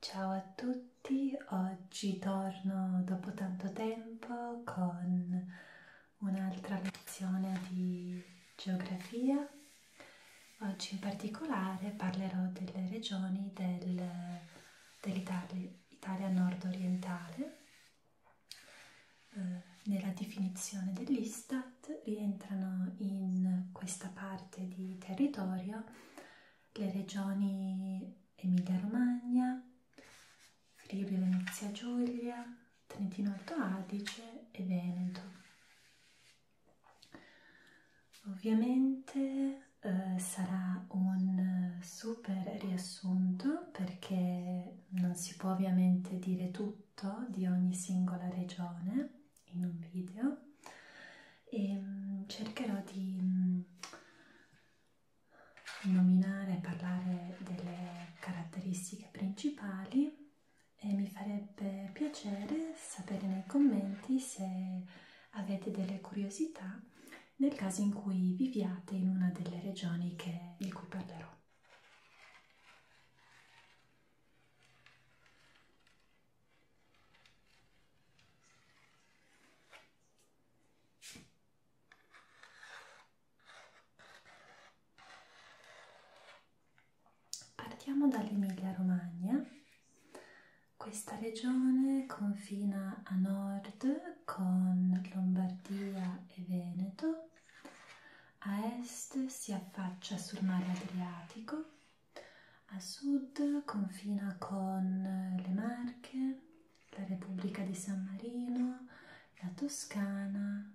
Ciao a tutti, oggi torno dopo tanto tempo con un'altra lezione di geografia. Oggi in particolare parlerò delle regioni del, dell'Italia nord-orientale. Eh, nella definizione dell'Istat rientrano in questa parte di territorio le regioni Emilia-Romagna, Friuli, Venezia, Giulia, Trentino Alto Adige e Veneto. Ovviamente eh, sarà un super riassunto perché non si può ovviamente dire tutto di ogni singola regione in un video e ehm, cercherò di mm, nominare e parlare delle caratteristiche principali e mi farebbe piacere sapere nei commenti se avete delle curiosità nel caso in cui viviate in una delle regioni che, di cui parlerò. Partiamo dall'Emilia Romagna. Questa regione confina a nord con Lombardia e Veneto, a est si affaccia sul mare Adriatico a sud confina con eh, le Marche, la Repubblica di San Marino, la Toscana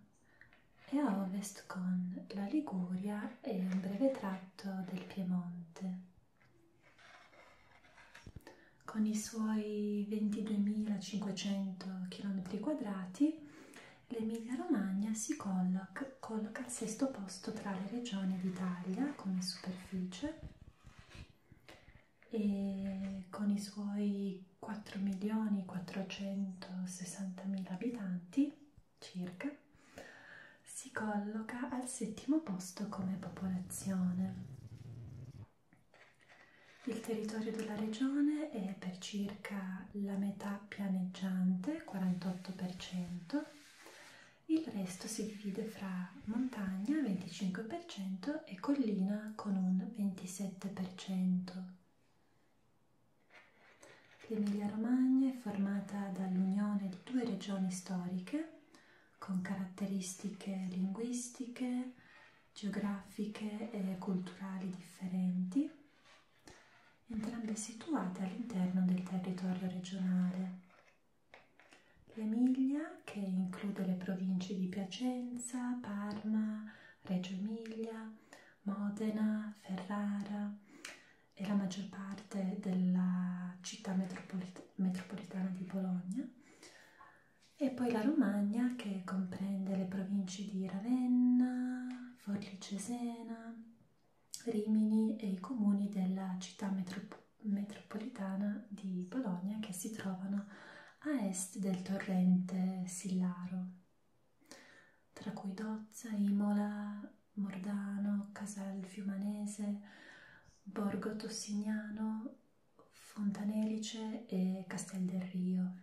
e a ovest con la Liguria e un breve tratto del Piemonte. Con i suoi 22.500 km2, l'Emilia Romagna si colloca Landunach colloca al sesto posto tra le regioni d'Italia come superficie e con i suoi 4.460.000 abitanti circa si colloca al settimo posto come popolazione. Il territorio della regione è per circa la metà pianeggiante, 48%, il resto si divide fra montagna 25% e collina con un 27%. L'Emilia Romagna è formata dall'unione di due regioni storiche con caratteristiche linguistiche, geografiche e culturali differenti entrambe situate all'interno del territorio regionale. L'Emilia, che include le province di Piacenza, Parma, Reggio Emilia, Modena, Ferrara e la maggior parte della città metropolit metropolitana di Bologna, e poi la Romagna che comprende le province di Ravenna, Forlì Cesena, Rimini e i comuni della città metrop metropolitana di Bologna che si trovano a est del torrente Sillaro, tra cui Dozza, Imola, Mordano, Casal Fiumanese, Borgo Tossignano, Fontanelice e Castel del Rio.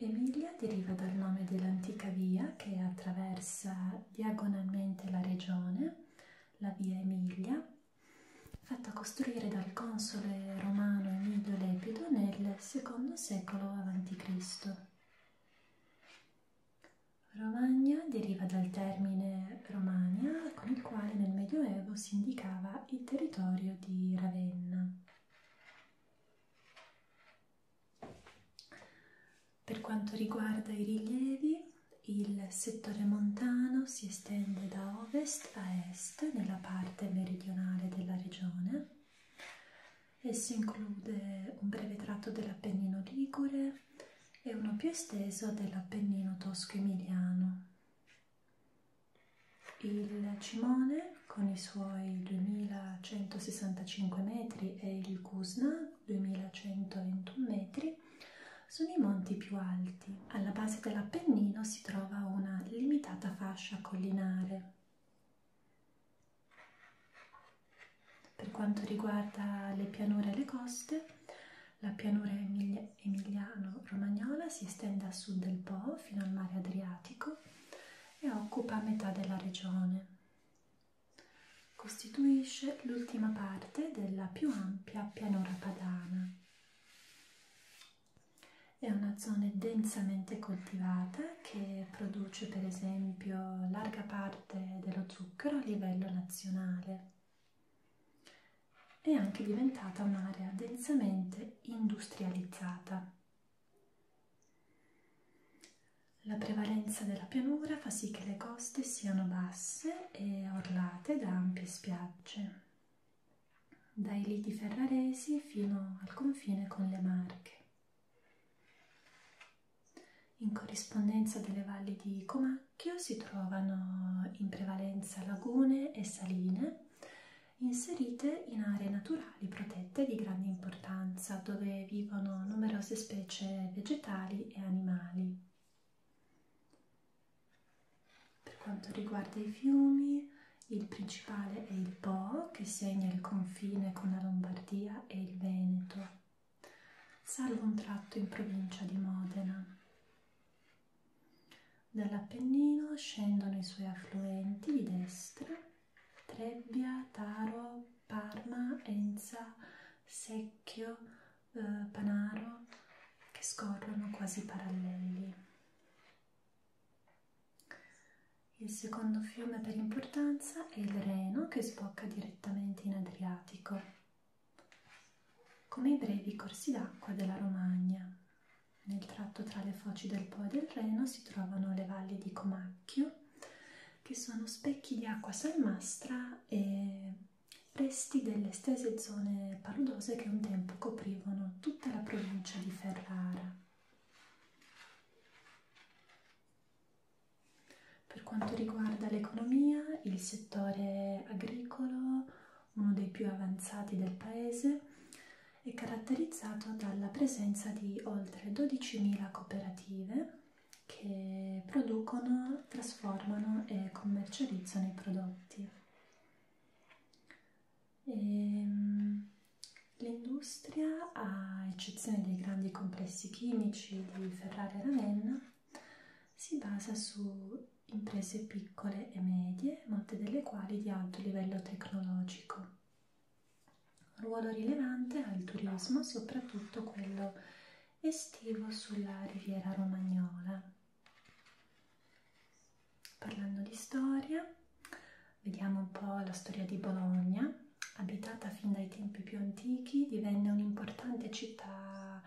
Emilia deriva dal nome dell'antica via che attraversa diagonalmente la regione, la via Emilia, fatta costruire dal console romano Emilio Lepido nel secondo secolo a.C. Romagna deriva dal termine Romagna con il quale nel Medioevo si indicava il territorio di Ravenna. Per quanto riguarda i rilievi, il settore montano si estende da ovest a est nella parte meridionale della regione. Esso include un breve tratto dell'Appennino Ligure e uno più esteso dell'Appennino Tosco-Emiliano. Il Cimone con i suoi 2165 metri e il Kusna 2121 metri sono i monti più alti. Alla base dell'Appennino si trova una limitata fascia collinare. Per quanto riguarda le pianure e le coste, la pianura emiliano-romagnola si estende a sud del Po fino al mare Adriatico e occupa metà della regione. Costituisce l'ultima parte della più ampia pianura padana. È una zona densamente coltivata che produce per esempio larga parte dello zucchero a livello nazionale. È anche diventata un'area densamente industrializzata la prevalenza della pianura fa sì che le coste siano basse e orlate da ampie spiagge, dai liti ferraresi fino al confine con le Marche. In corrispondenza delle valli di Comacchio si trovano in prevalenza lagune e saline inserite in aree naturali protette di grande importanza dove vivono numerose specie vegetali e animali. Per quanto riguarda i fiumi, il principale è il Po che segna il confine con la Lombardia e il Veneto, salvo un tratto in provincia di Modena. Dall'Appennino scendono i suoi affluenti di destra Trebbia, Taro, Parma, Enza, Secchio, eh, Panaro che scorrono quasi paralleli. Il secondo fiume per importanza è il Reno che sbocca direttamente in Adriatico, come i brevi corsi d'acqua della Romagna. Nel tratto tra le foci del Po e del Reno si trovano le valli di Comacchio, che sono specchi di acqua salmastra e resti delle stesse zone paludose che un tempo coprivano tutta la provincia di Ferrara. Per quanto riguarda l'economia, il settore agricolo, uno dei più avanzati del paese, è caratterizzato dalla presenza di oltre 12.000 cooperative che producono, trasformano e commercializzano i prodotti. Ehm, l'industria, a eccezione dei grandi complessi chimici di Ferrara e Ravenna, si basa su imprese piccole e medie, molte delle quali di alto livello tecnologico. Ruolo rilevante ha il turismo, soprattutto quello estivo sulla riviera romagnola. Parlando di storia, vediamo un po' la storia di Bologna, abitata fin dai tempi più antichi, divenne un'importante città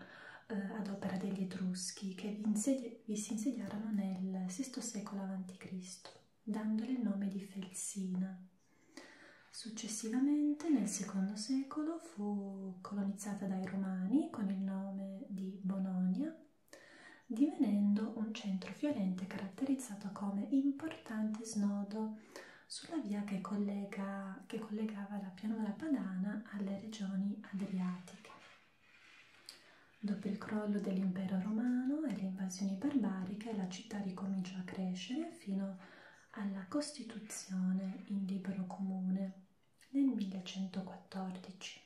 eh, ad opera degli Etruschi che vi, vi si insediarono nel VI secolo a.C dandole il nome di Felsina. Successivamente, nel secondo secolo, fu colonizzata dai Romani con il nome di Bononia, divenendo un centro fiorente caratterizzato come importante snodo sulla via che, collega, che collegava la pianura padana alle regioni adriatiche. Dopo il crollo dell'impero romano e le invasioni barbariche, la città ricominciò a crescere fino alla costituzione in libero comune nel 1114.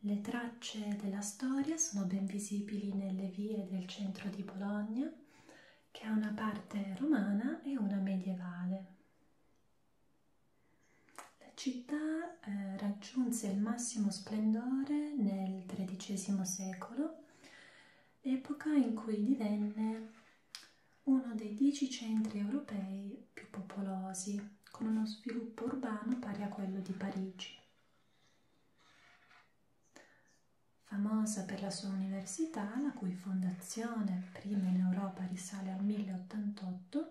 Le tracce della storia sono ben visibili nelle vie del centro di Bologna, che ha una parte romana e una medievale. La città eh, raggiunse il massimo splendore nel XIII secolo, epoca in cui divenne uno dei dieci centri europei più popolosi, con uno sviluppo urbano pari a quello di Parigi. Famosa per la sua università, la cui fondazione prima in Europa risale al 1088,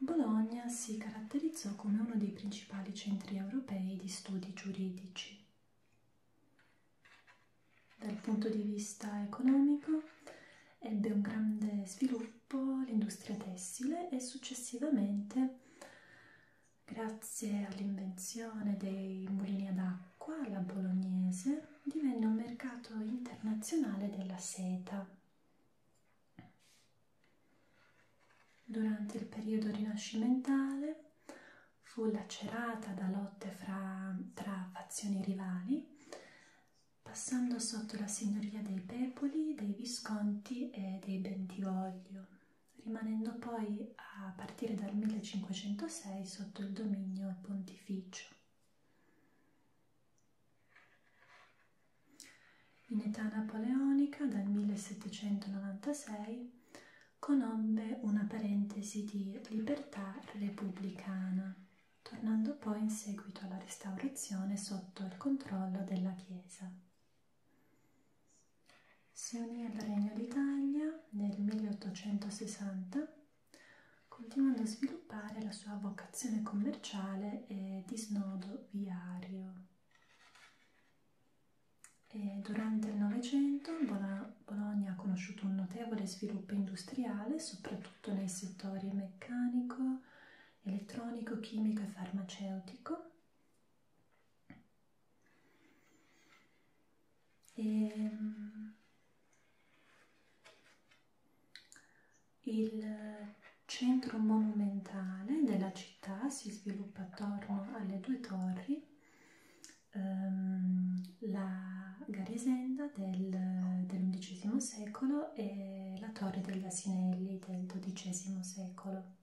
Bologna si caratterizzò come uno dei principali centri europei di studi giuridici. Dal punto di vista economico ebbe un grande sviluppo l'industria tessile e successivamente, grazie all'invenzione dei mulini ad acqua alla bolognese, divenne un mercato internazionale della seta. Durante il periodo rinascimentale fu lacerata da lotte fra, tra fazioni rivali, passando sotto la signoria dei Pepoli, dei Visconti e dei Bentivoglio, rimanendo poi a partire dal 1506 sotto il dominio pontificio. In età napoleonica, dal 1796, conobbe una parentesi di libertà repubblicana, tornando poi in seguito alla restaurazione sotto il controllo della Chiesa. Si unì al Regno d'Italia nel 1860, continuando a sviluppare la sua vocazione commerciale e di snodo viario. E durante il Novecento Bologna ha conosciuto un notevole sviluppo industriale, soprattutto nei settori meccanico, elettronico, chimico e farmaceutico. E ehm, il centro monumentale della città si sviluppa attorno alle due torri, ehm, la Garisenda del, dell'undicesimo secolo e la torre degli Asinelli del dodicesimo secolo.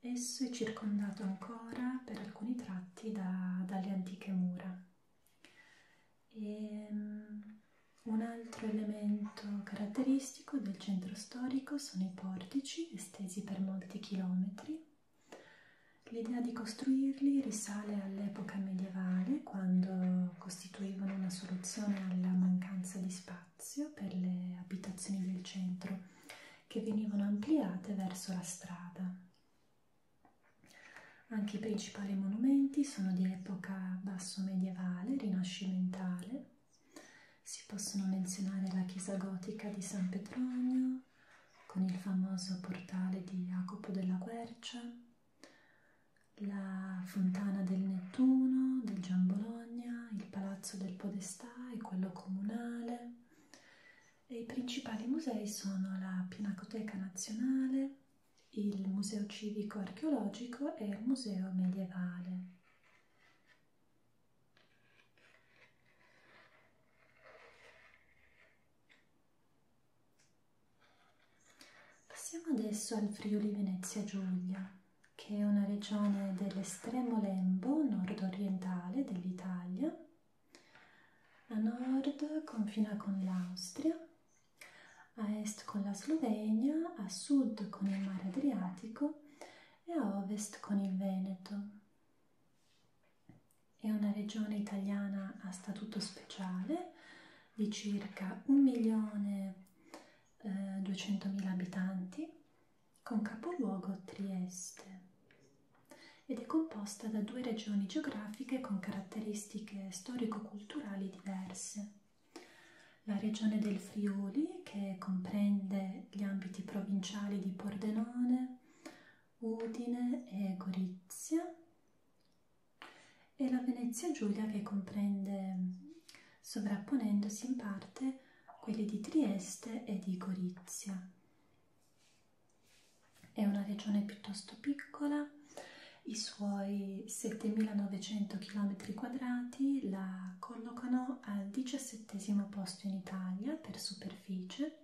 Esso è circondato ancora per alcuni tratti da, dalle antiche mura. E, ehm, un altro elemento caratteristico del centro storico sono i portici estesi per molti chilometri. L'idea di costruirli risale all'epoca medievale, quando costituivano una soluzione alla mancanza di spazio per le abitazioni del centro, che venivano ampliate verso la strada. Anche i principali monumenti sono di epoca basso medievale, rinascimentale si possono menzionare la chiesa gotica di San Petronio, con il famoso portale di Jacopo della Quercia, la fontana del Nettuno, del Gian Bologna, il palazzo del Podestà e quello comunale. E I principali musei sono la Pinacoteca Nazionale, il Museo Civico Archeologico e il Museo Medievale. Passiamo adesso al Friuli Venezia Giulia, che è una regione dell'estremo lembo nord-orientale dell'Italia. A nord confina con l'Austria, a est con la Slovenia, a sud con il mare Adriatico e a ovest con il Veneto. È una regione italiana a statuto speciale di circa 1.200.000 eh, abitanti con capoluogo Trieste ed è composta da due regioni geografiche con caratteristiche storico-culturali diverse. La regione del Friuli, che comprende gli ambiti provinciali di Pordenone, Udine e Gorizia, e la Venezia Giulia, che comprende, sovrapponendosi in parte, quelli di Trieste e di Gorizia. È una regione piuttosto piccola, i suoi 7.900 km2 la collocano al diciassettesimo posto in Italia per superficie.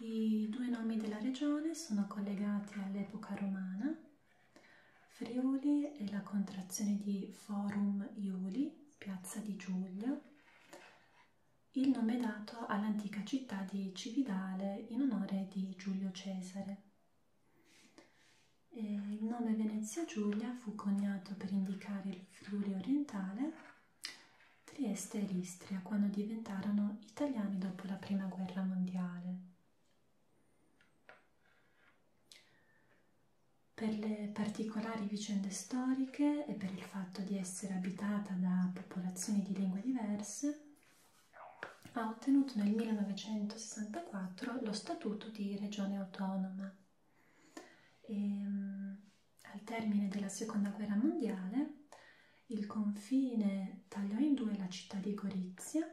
I due nomi della regione sono collegati all'epoca romana, Friuli è la contrazione di Forum Iuli, piazza di Giulio. Il nome è dato all'antica città di Cividale in onore di Giulio Cesare. E il nome Venezia Giulia fu coniato per indicare il Friuli orientale, Trieste e Istria quando diventarono italiani dopo la prima guerra mondiale. Per le particolari vicende storiche e per il fatto di essere abitata da popolazioni di lingue diverse, ha ottenuto nel 1964 lo statuto di regione autonoma. E, ehm, al termine della seconda guerra mondiale il confine tagliò in due la città di Gorizia,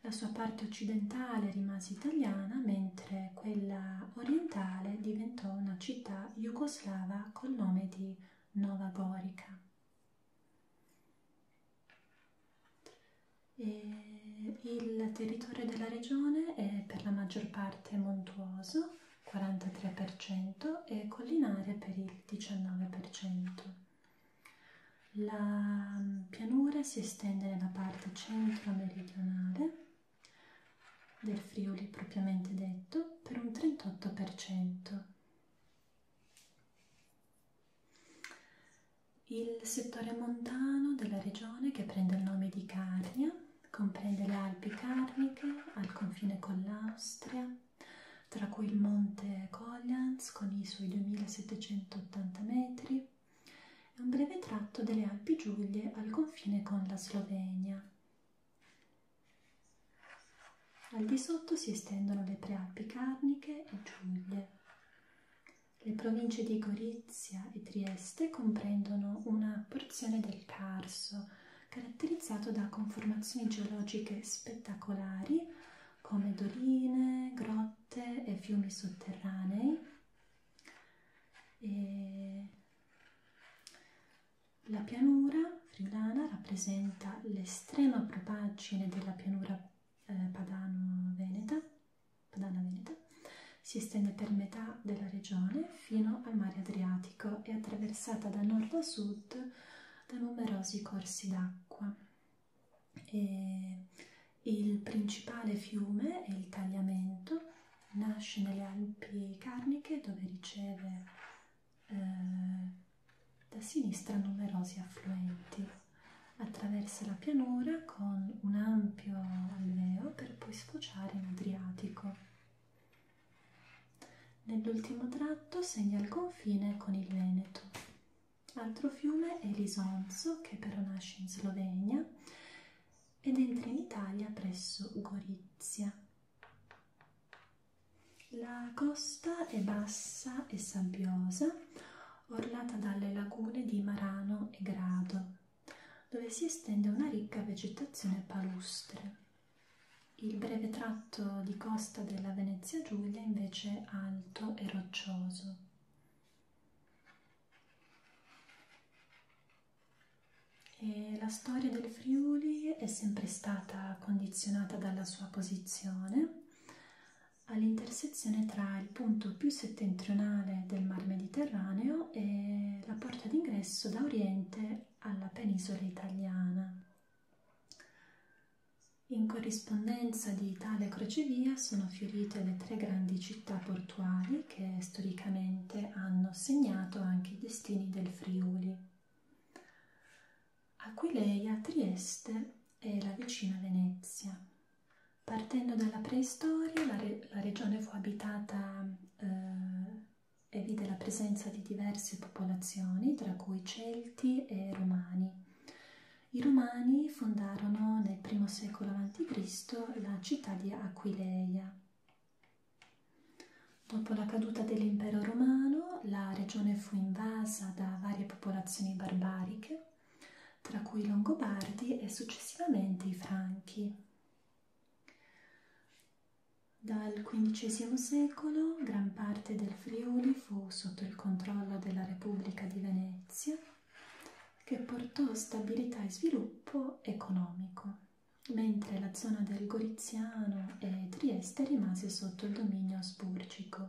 la sua parte occidentale rimase italiana mentre quella orientale diventò una città jugoslava col nome di Nova Gorica. E il territorio della regione è per la maggior parte montuoso, 43%, e collinare per il 19%. La pianura si estende nella parte centro-meridionale del Friuli propriamente detto per un 38%. Il settore montano della regione che prende il nome di Carnia comprende le Alpi Carniche al confine con l'Austria, tra cui il monte Collans con i suoi 2780 metri e un breve tratto delle Alpi Giulie al confine con la Slovenia. Al di sotto si estendono le prealpi carniche e giulie. Le province di Gorizia e Trieste comprendono una porzione del Carso, caratterizzato da conformazioni geologiche spettacolari come doline, grotte e fiumi sotterranei. E la pianura friulana rappresenta l'estrema propaggine della pianura eh, padano-veneta, padana-veneta, si estende per metà della regione fino al mare Adriatico e attraversata da nord a sud da numerosi corsi d'acqua. Il principale fiume è il Tagliamento, nasce nelle Alpi Carniche dove riceve eh, da sinistra numerosi affluenti. Attraversa la pianura con un ampio alveo per poi sfociare in Adriatico. Nell'ultimo tratto segna il confine con il Veneto. Altro fiume è l'Isonzo, che però nasce in Slovenia ed entra in Italia presso Gorizia. La costa è bassa e sabbiosa, ornata dalle lagune di Marano e Grado, dove si estende una ricca vegetazione palustre. Il breve tratto di costa della Venezia Giulia invece è alto e roccioso. E la storia del del Friuli è sempre stata condizionata dalla sua posizione all'intersezione tra il punto più settentrionale del Mar Mediterraneo e la porta d'ingresso da oriente alla penisola italiana. In corrispondenza di tale crocevia sono fiorite le tre grandi città portuali che storicamente hanno segnato anche i destini del Friuli. Aquileia, Trieste e la vicina Venezia. Partendo dalla preistoria, la, re la regione fu abitata eh, e vide la presenza di diverse popolazioni, tra cui Celti e Romani. I Romani fondarono nel I secolo a.C. la città di Aquileia. Dopo la caduta dell'impero romano, la regione fu invasa da varie popolazioni barbariche, tra cui i Longobardi e successivamente i Franchi. Dal XV secolo gran parte del Friuli fu sotto il controllo della Repubblica di Venezia, che portò stabilità e sviluppo economico, mentre la zona del Veneziano e Trieste rimase sotto il dominio asburgico.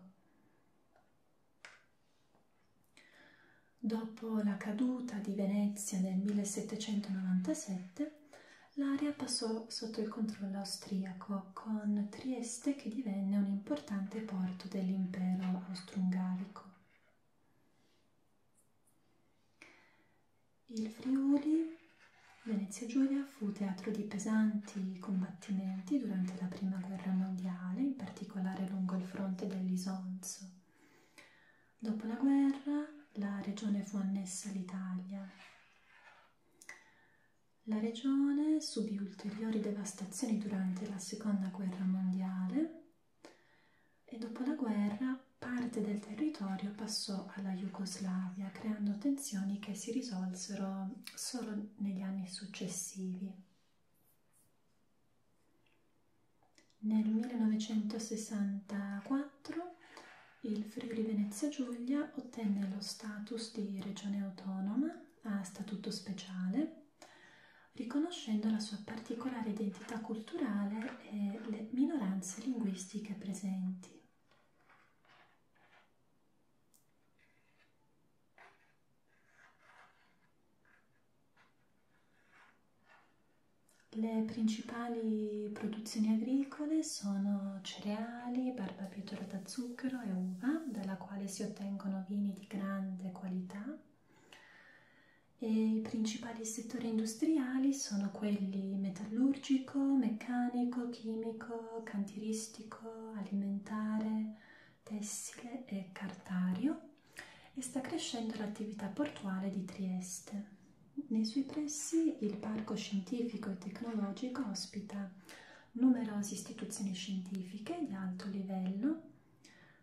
Dopo la caduta di Venezia nel 1797, l'area passò sotto il controllo austriaco, con Trieste che divenne un importante porto dell'impero austro-ungarico. Il Friuli Venezia Giulia fu teatro di pesanti combattimenti durante la prima guerra mondiale, in particolare lungo il fronte dell'Isonzo. Dopo la guerra la regione fu annessa all'Italia. La regione subì ulteriori devastazioni durante la seconda guerra mondiale e dopo la guerra parte del territorio passò opposto alla Jugoslavia, creando tensioni che si risolsero solo negli anni successivi. Nel 1964 il Friuli Venezia Giulia ottenne lo status di regione autonoma a statuto speciale, riconoscendo la sua particolare identità culturale e le minoranze linguistiche presenti. Le principali produzioni agricole sono cereali, barbabietolo da zucchero e uva, dalla quale si ottengono vini di grande qualità. E I principali settori industriali sono quelli metallurgico, meccanico meccanico, chimico, cantieristico, alimentare, tessile e cartario e sta crescendo l'attività portuale di Trieste. Nei suoi pressi il parco scientifico e tecnologico ospita numerose istituzioni scientifiche di alto livello,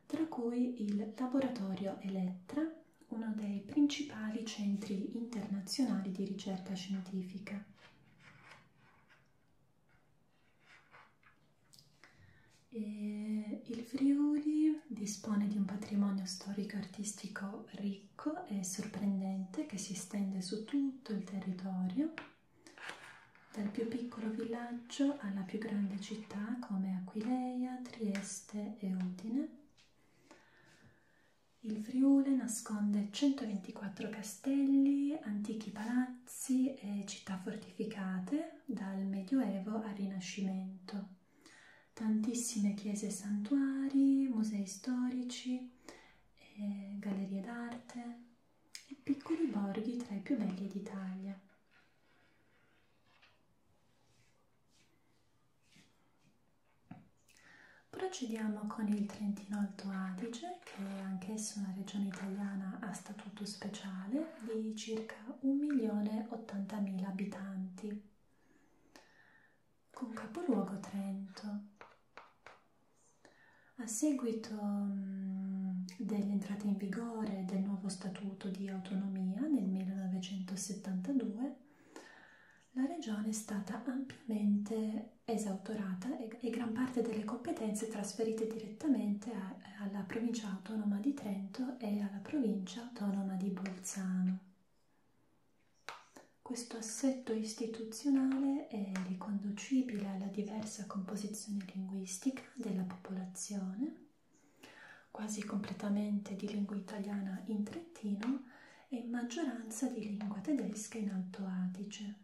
tra cui il Laboratorio Elettra, uno dei principali centri internazionali di ricerca scientifica. E il Friuli dispone di un patrimonio storico-artistico ricco e sorprendente che si estende su tutto il territorio, dal più piccolo villaggio alla più grande città come Aquileia, Trieste e Udine. Il Friuli nasconde 124 castelli, antichi palazzi e città fortificate dal Medioevo al Rinascimento, tantissime chiese e santuari, musei storici, e gallerie d'arte e piccoli borghi tra i più belli d'Italia. Procediamo con il Trentino Alto Adige, che è anch'esso una regione italiana a statuto speciale di circa 1.080.000 abitanti, con capoluogo Trento. A seguito dell'entrata in vigore del nuovo Statuto di autonomia nel 1972, la regione è stata ampiamente esautorata e, e gran parte delle competenze trasferite direttamente a, alla provincia autonoma di Trento e alla provincia autonoma di Bolzano. Questo assetto istituzionale è riconducibile alla diversa composizione linguistica della popolazione, quasi completamente di lingua italiana in Trentino e in maggioranza di lingua tedesca in Alto Adige.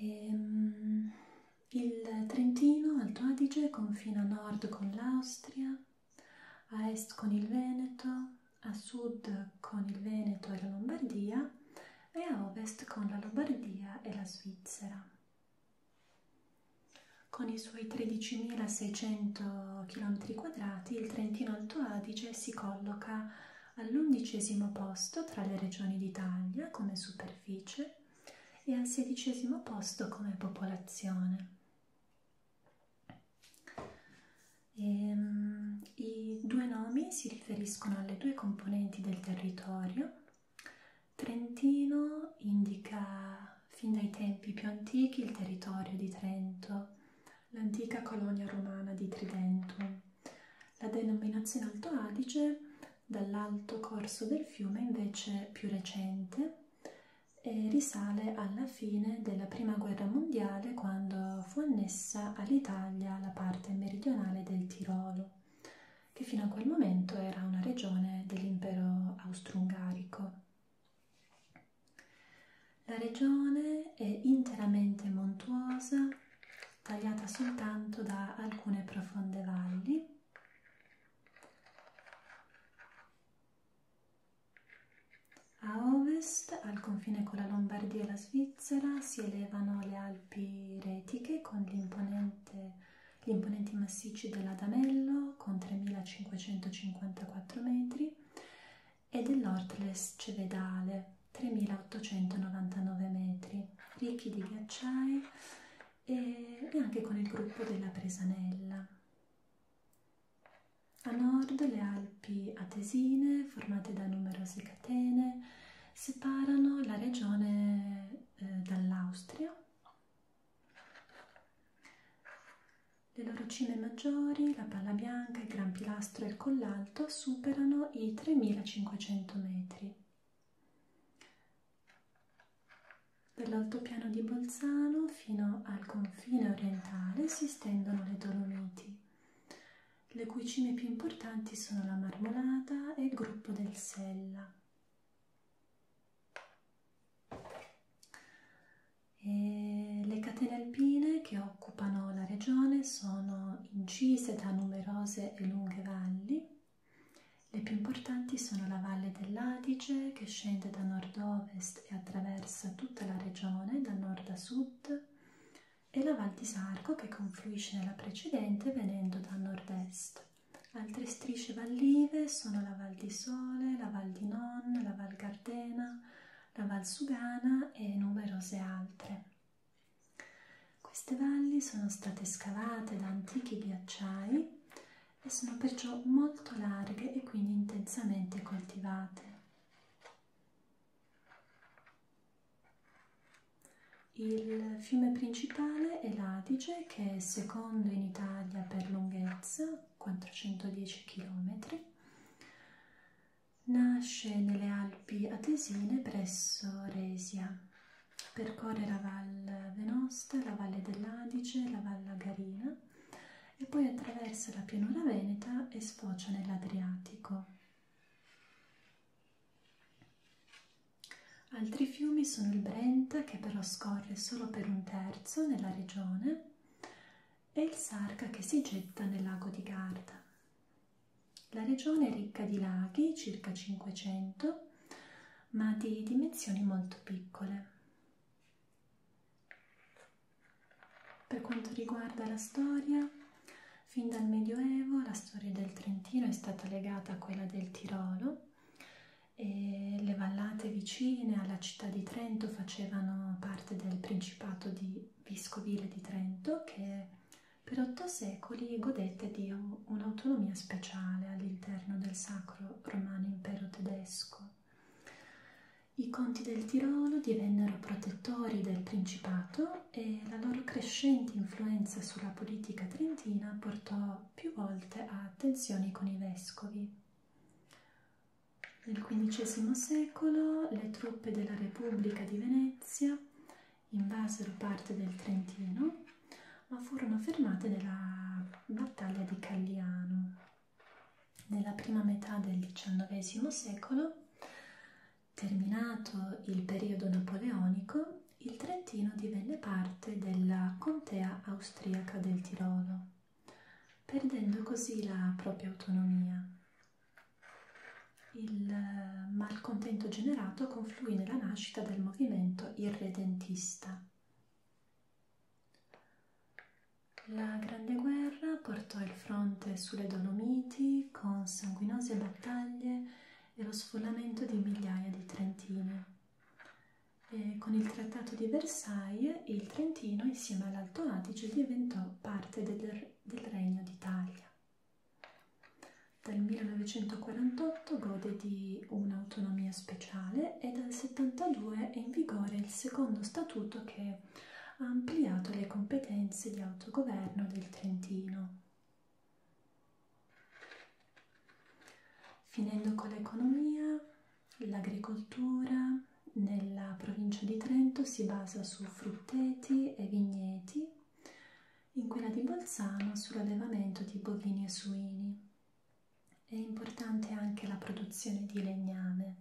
Ehm, il Trentino, Alto Adige, confina a nord con l'Austria, a est con il Veneto, a sud con il Veneto e la Lombardia e a ovest con la Lombardia e la Svizzera. Con i suoi 13.600 km quadrati, il Trentino Alto Adige si colloca all'undicesimo posto tra le regioni d'Italia come superficie e al sedicesimo posto come popolazione. E, um, I due nomi si riferiscono alle due componenti del territorio. Trentino indica fin dai tempi più antichi il territorio di Trento l'antica colonia romana di Tridento. La denominazione Alto Adige dall'alto corso del fiume invece più recente e risale alla fine della prima guerra mondiale quando fu annessa all'Italia la parte meridionale del Tirolo che fino a quel momento era una regione dell'impero austro-ungarico. La regione è interamente montuosa, tagliata soltanto da alcune profonde valli. A ovest, al confine con la Lombardia e la Svizzera, si elevano le Alpi Retiche con gli imponenti massicci dell'Adamello con 3554 metri e dell'Ortles Cevedale 3899 metri, ricchi di ghiacciai e, e anche con il gruppo della Presanella. A nord le Alpi Atesine, formate da numerose catene, separano la regione eh, dall'Austria le loro cime maggiori, la palla bianca, il gran pilastro e il collalto superano i 3500 metri. Dall'altopiano di Bolzano fino al confine orientale si stendono le Dolomiti, le cui cime più importanti sono la Marmolada e il gruppo del Sella. E le catene alpine che occupano la regione sono incise da numerose e lunghe valli. Le più importanti sono la Valle dell'Adige che scende da nord-ovest e attraversa tutta la regione da nord a sud e la Val di Sarco che confluisce nella precedente venendo da nord-est. Altre strisce vallive sono la Val di Sole, la Val di Non, la Val Gardena, la Valsugana e numerose altre. Queste valli sono state scavate da antichi ghiacciai e sono perciò molto larghe e quindi intensamente coltivate. Il fiume principale è l'Adige che è secondo in Italia per lunghezza 410 km. Nasce nelle Alpi Atesine presso Resia. Percorre la Val Venosta, la Valle dell'Adige, la Val Lagarina e poi attraversa la pianura veneta e sfocia nell'Adriatico. Altri fiumi sono il Brenta, che però scorre solo per un terzo nella regione, è il Sarca che si getta nel lago di Garda. La regione è ricca di laghi, circa 500, ma di dimensioni molto piccole. Per quanto riguarda la storia, fin dal Medioevo la storia del Trentino è stata legata a quella del Tirolo e le vallate vicine alla città di Trento facevano parte del Principato di Vescovile di Trento che per otto secoli godette di un'autonomia speciale all'interno del Sacro Romano Impero Tedesco. I conti del Tirolo divennero protettori del Principato e la loro crescente influenza sulla politica trentina portò più volte a tensioni con i vescovi. Nel XV secolo le truppe della Repubblica di Venezia invasero parte del Trentino, ma furono fermate nella battaglia di Cagliano. Nella prima metà del XIX secolo, terminato il periodo napoleonico, il Trentino divenne parte della contea austriaca del Tirolo perdendo così la propria autonomia. Il eh, malcontento generato confluì nella nascita del movimento irredentista. La Grande Guerra portò il fronte sulle Dolomiti con sanguinose battaglie e lo sfollamento di migliaia di trentini eh, con il Trattato di Versailles il Trentino insieme all'Alto Adige diventò parte del, del Regno d'Italia. Dal 1948 gode di un'autonomia speciale e dal 1972 è in vigore il secondo statuto che ha ampliato le competenze di autogoverno del Trentino. Finendo con l'economia, L'agricoltura nella provincia di Trento si basa su frutteti e vigneti, in quella di Bolzano sull'allevamento di bovini e suini. È importante anche la produzione di legname.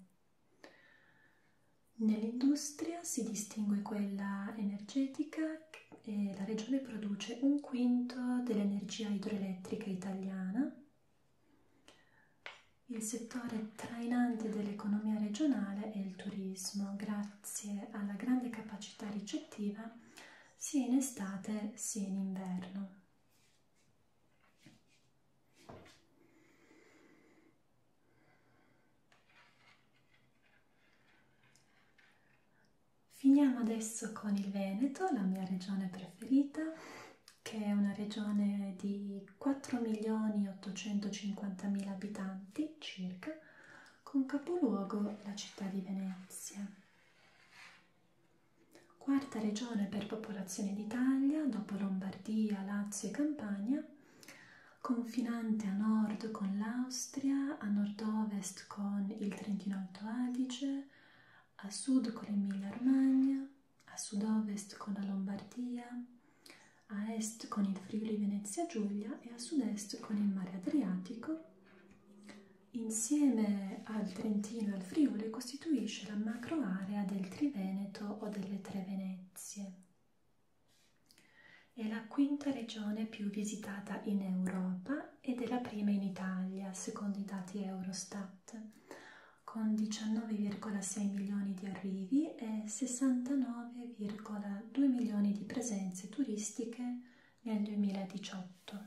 Nell'industria si distingue quella energetica e la regione produce un quinto dell'energia idroelettrica italiana il settore trainante dell'economia regionale è il turismo, grazie alla grande capacità ricettiva sia in estate sia in inverno. Finiamo adesso con il Veneto, la mia regione preferita che è una regione di 4.850.000 abitanti circa, con capoluogo la città di Venezia. Quarta regione per popolazione d'Italia, dopo Lombardia, Lazio e Campania, confinante a nord con l'Austria, a nord-ovest con il Trentino Alto Adige, a sud con l'Emilia Romagna, a sud-ovest con la Lombardia, a est con il Friuli Venezia Giulia e a sud-est con il mare Adriatico, insieme al Trentino e al Friuli costituisce la macroarea del Triveneto o delle Tre Venezie. È la quinta regione più visitata in Europa ed è la prima in Italia, secondo i dati Eurostat, con 19,6 milioni di arrivi e 69,2 milioni di presenze turistiche nel 2018.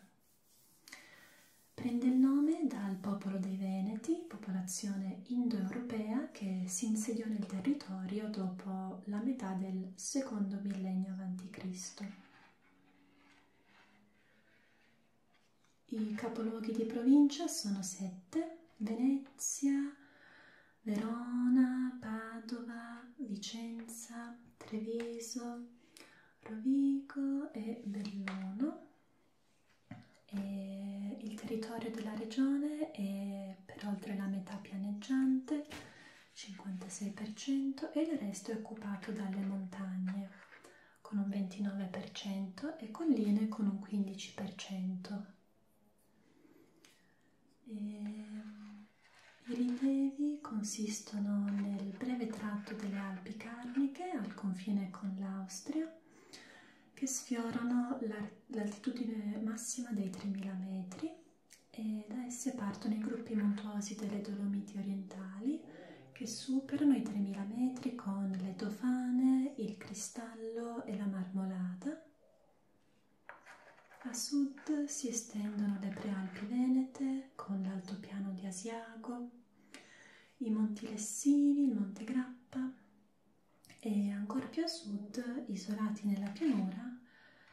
Prende il nome dal popolo dei Veneti, popolazione indoeuropea che si insediò nel territorio dopo la metà del secondo millennio a.C. I capoluoghi di provincia sono sette: Venezia, Verona, Padova, Vicenza, Treviso, Rovigo e Belluno. E il territorio della regione è per oltre la metà pianeggiante, 56%, e il resto è occupato dalle montagne, con un 29% e colline con un 15%. E... I rilievi consistono nel breve tratto delle Alpi Carniche al confine con l'Austria che sfiorano l'altitudine massima dei 3000 metri e da esse partono i gruppi montuosi delle Dolomiti orientali che superano i 3000 metri con le dofane, il cristallo e la marmolata. A sud si estendono le prealpi venete con l'altopiano di Asiago, i monti Lessini, il monte Grappa e ancora più a sud, isolati nella pianura,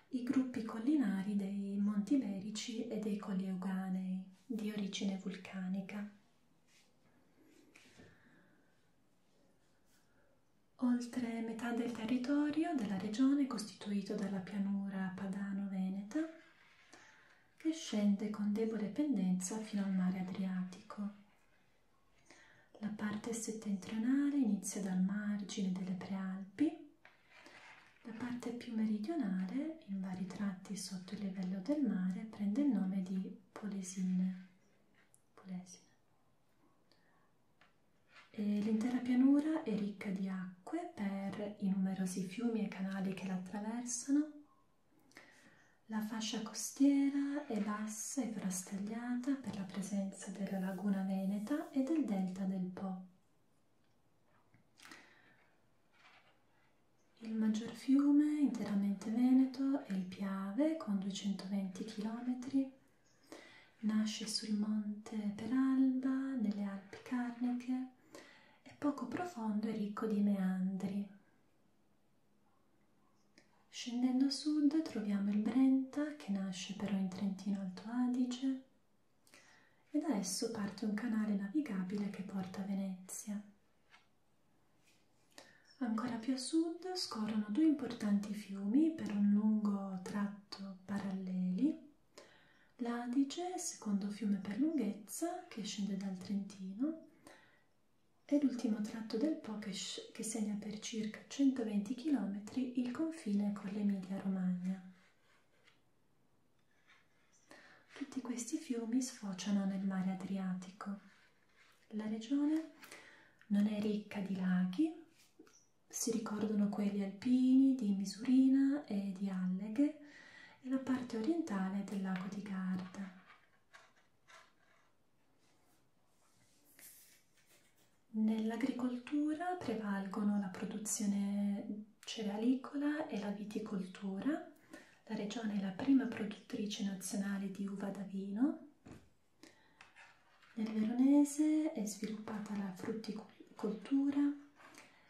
i gruppi collinari dei monti berici e dei colli euganei di origine vulcanica. Oltre metà del territorio della regione è costituito dalla pianura padano-veneta che scende con debole pendenza fino al mare Adriatico. La parte settentrionale inizia dal margine delle Prealpi, la parte più meridionale Polesine, in vari tratti sotto il livello del mare, prende il nome di Polesine. Polesine. L'intera pianura è ricca di acque per i numerosi fiumi e canali che la attraversano. La fascia costiera è bassa e frastagliata per la presenza della laguna veneta e del delta del Po. Il maggior fiume interamente veneto è il Piave con 220 km. Nasce sul monte Peralba, nelle Alpi Carniche, è poco profondo e ricco di meandri. Scendendo a sud troviamo il Brenta che nasce però in Trentino Alto Adige e da esso parte un canale navigabile che porta a Venezia. Ancora più a sud scorrono due importanti fiumi per un lungo tratto paralleli. L'Adige, secondo fiume per lunghezza, che scende dal Trentino, e l'ultimo tratto del Po che, che segna per circa 120 km il confine con l'Emilia-Romagna. Tutti questi fiumi sfociano nel mare Adriatico. La regione non è ricca di laghi, si ricordano quelli alpini di Misurina e di Alleghe e la parte orientale del lago di Garda. Nell'agricoltura prevalgono la produzione cerealicola e la viticoltura. La regione è la prima produttrice nazionale di uva da vino. Nel veronese è sviluppata la frutticoltura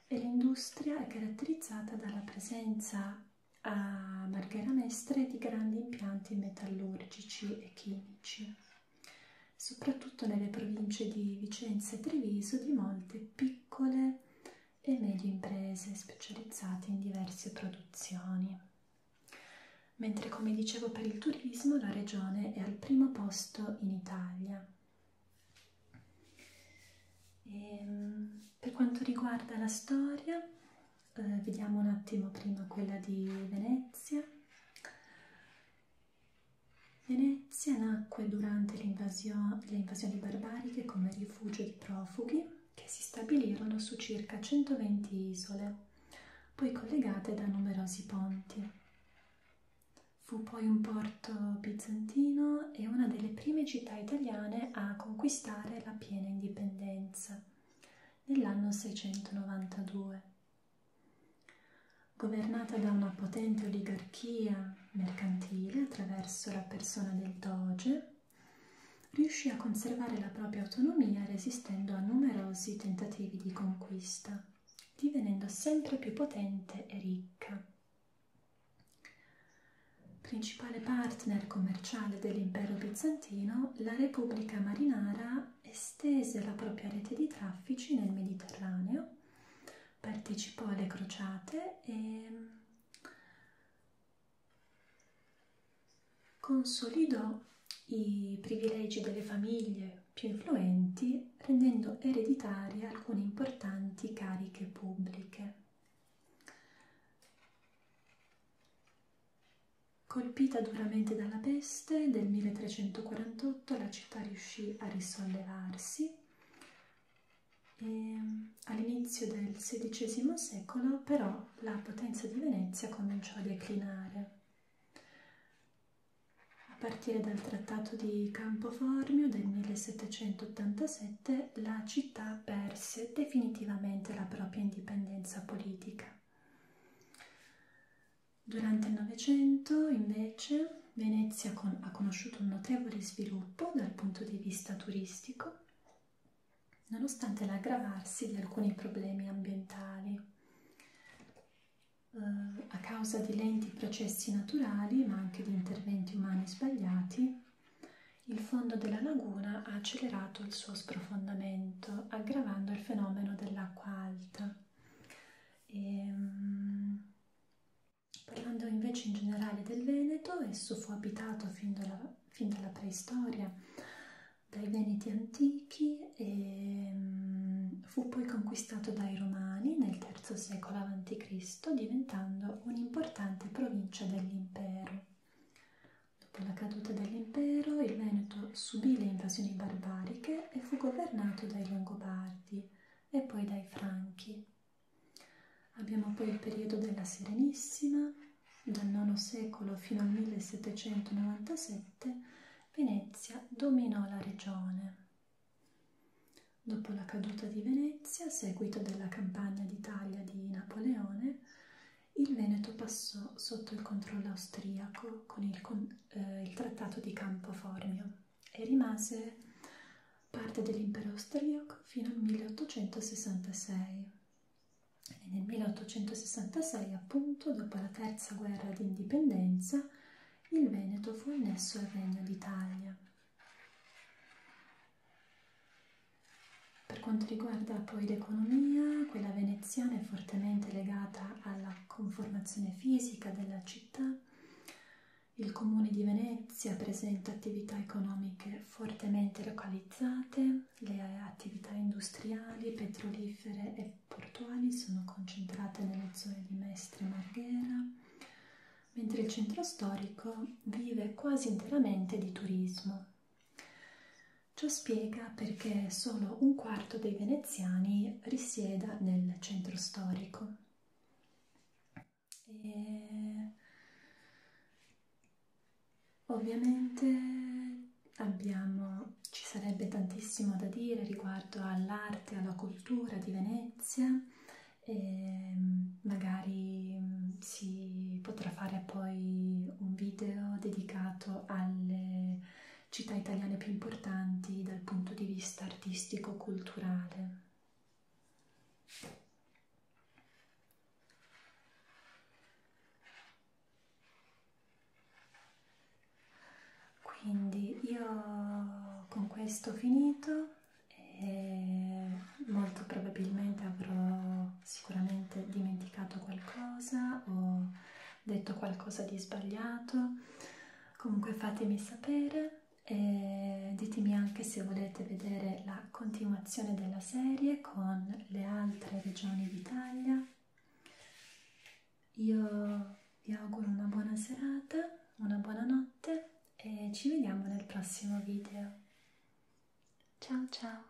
e l'industria è caratterizzata dalla presenza a Marghera Mestre di grandi impianti metallurgici e chimici, soprattutto nelle province di Vicenza e Treviso di molte piccole e medie imprese specializzate in diverse produzioni. Mentre come dicevo per il turismo la regione è al primo posto in Italia. E, ehm, per quanto riguarda la storia, eh, vediamo un attimo prima quella di Venezia. Venezia nacque durante le invasioni barbariche come rifugio dei profughi che si stabilirono su circa 120 isole, poi collegate da numerosi ponti. Fu poi un porto bizantino e una delle prime città italiane a conquistare la piena indipendenza nell'anno 692. Governata da una potente oligarchia mercantile attraverso la persona del doge riuscì a conservare la propria autonomia resistendo a numerosi tentativi di conquista, divenendo sempre più potente e ricca. Principale partner commerciale dell'impero bizantino, la Repubblica Marinara estese la propria rete di traffici nel Mediterraneo, partecipò alle crociate e Consolidò i privilegi delle famiglie più influenti rendendo ereditarie alcune importanti cariche pubbliche. Colpita duramente dalla peste, del 1348 la città riuscì a risollevarsi Ehm, all'inizio del XVI secolo però la potenza di Venezia cominciò a declinare. A partire dal trattato di Campoformio del 1787 la città perse definitivamente la propria indipendenza politica. Durante il Novecento invece Venezia con ha conosciuto un notevole sviluppo sviluppo dal punto di vista turistico, nonostante l'aggravarsi di alcuni problemi ambientali eh, a causa di lenti processi naturali ma anche di interventi umani sbagliati. Il fondo della laguna ha accelerato il suo sprofondamento, aggravando il fenomeno dell'acqua alta. E, ehm, Parlando invece in generale del Veneto, esso fu abitato fin dalla, fin dalla preistoria dai Veneti antichi e um, fu poi conquistato dai Romani nel III secolo a.C., diventando un'importante provincia dell'impero. Dopo la caduta dell'impero, il Veneto subì le invasioni barbariche e fu governato dai Longobardi e poi dai Franchi. Abbiamo poi il periodo della Serenissima, dal IX secolo fino al 1797 Venezia dominò la regione. Dopo la caduta di Venezia, a seguito della campagna d'Italia di Napoleone, il Veneto passò sotto il controllo austriaco con il, con, eh, il Trattato di Campo Formio e rimase parte dell'impero austriaco fino al 1866. E nel 1866, appunto, dopo la terza guerra d'indipendenza, il Veneto fu annesso al Regno d'Italia. Per quanto riguarda poi l'economia, quella veneziana è fortemente legata alla conformazione fisica della città il comune di Venezia presenta attività economiche fortemente localizzate, le attività industriali, petrolifere e portuali sono concentrate nelle zone di Mestre e Marghera, mentre il centro storico vive quasi interamente di turismo. Ciò spiega perché solo un quarto dei veneziani risieda nel centro storico e ovviamente abbiamo, ci sarebbe tantissimo da dire riguardo all'arte, alla cultura di Venezia e magari si potrà fare poi un video dedicato alle città italiane più importanti dal punto di vista artistico-culturale. Quindi io con questo ho finito e molto probabilmente avrò sicuramente dimenticato qualcosa o detto qualcosa di sbagliato. Comunque fatemi sapere e ditemi anche se volete vedere la continuazione della serie con le altre regioni d'Italia. Io vi auguro una buona serata, una buona notte e ci vediamo nel prossimo video. Ciao ciao!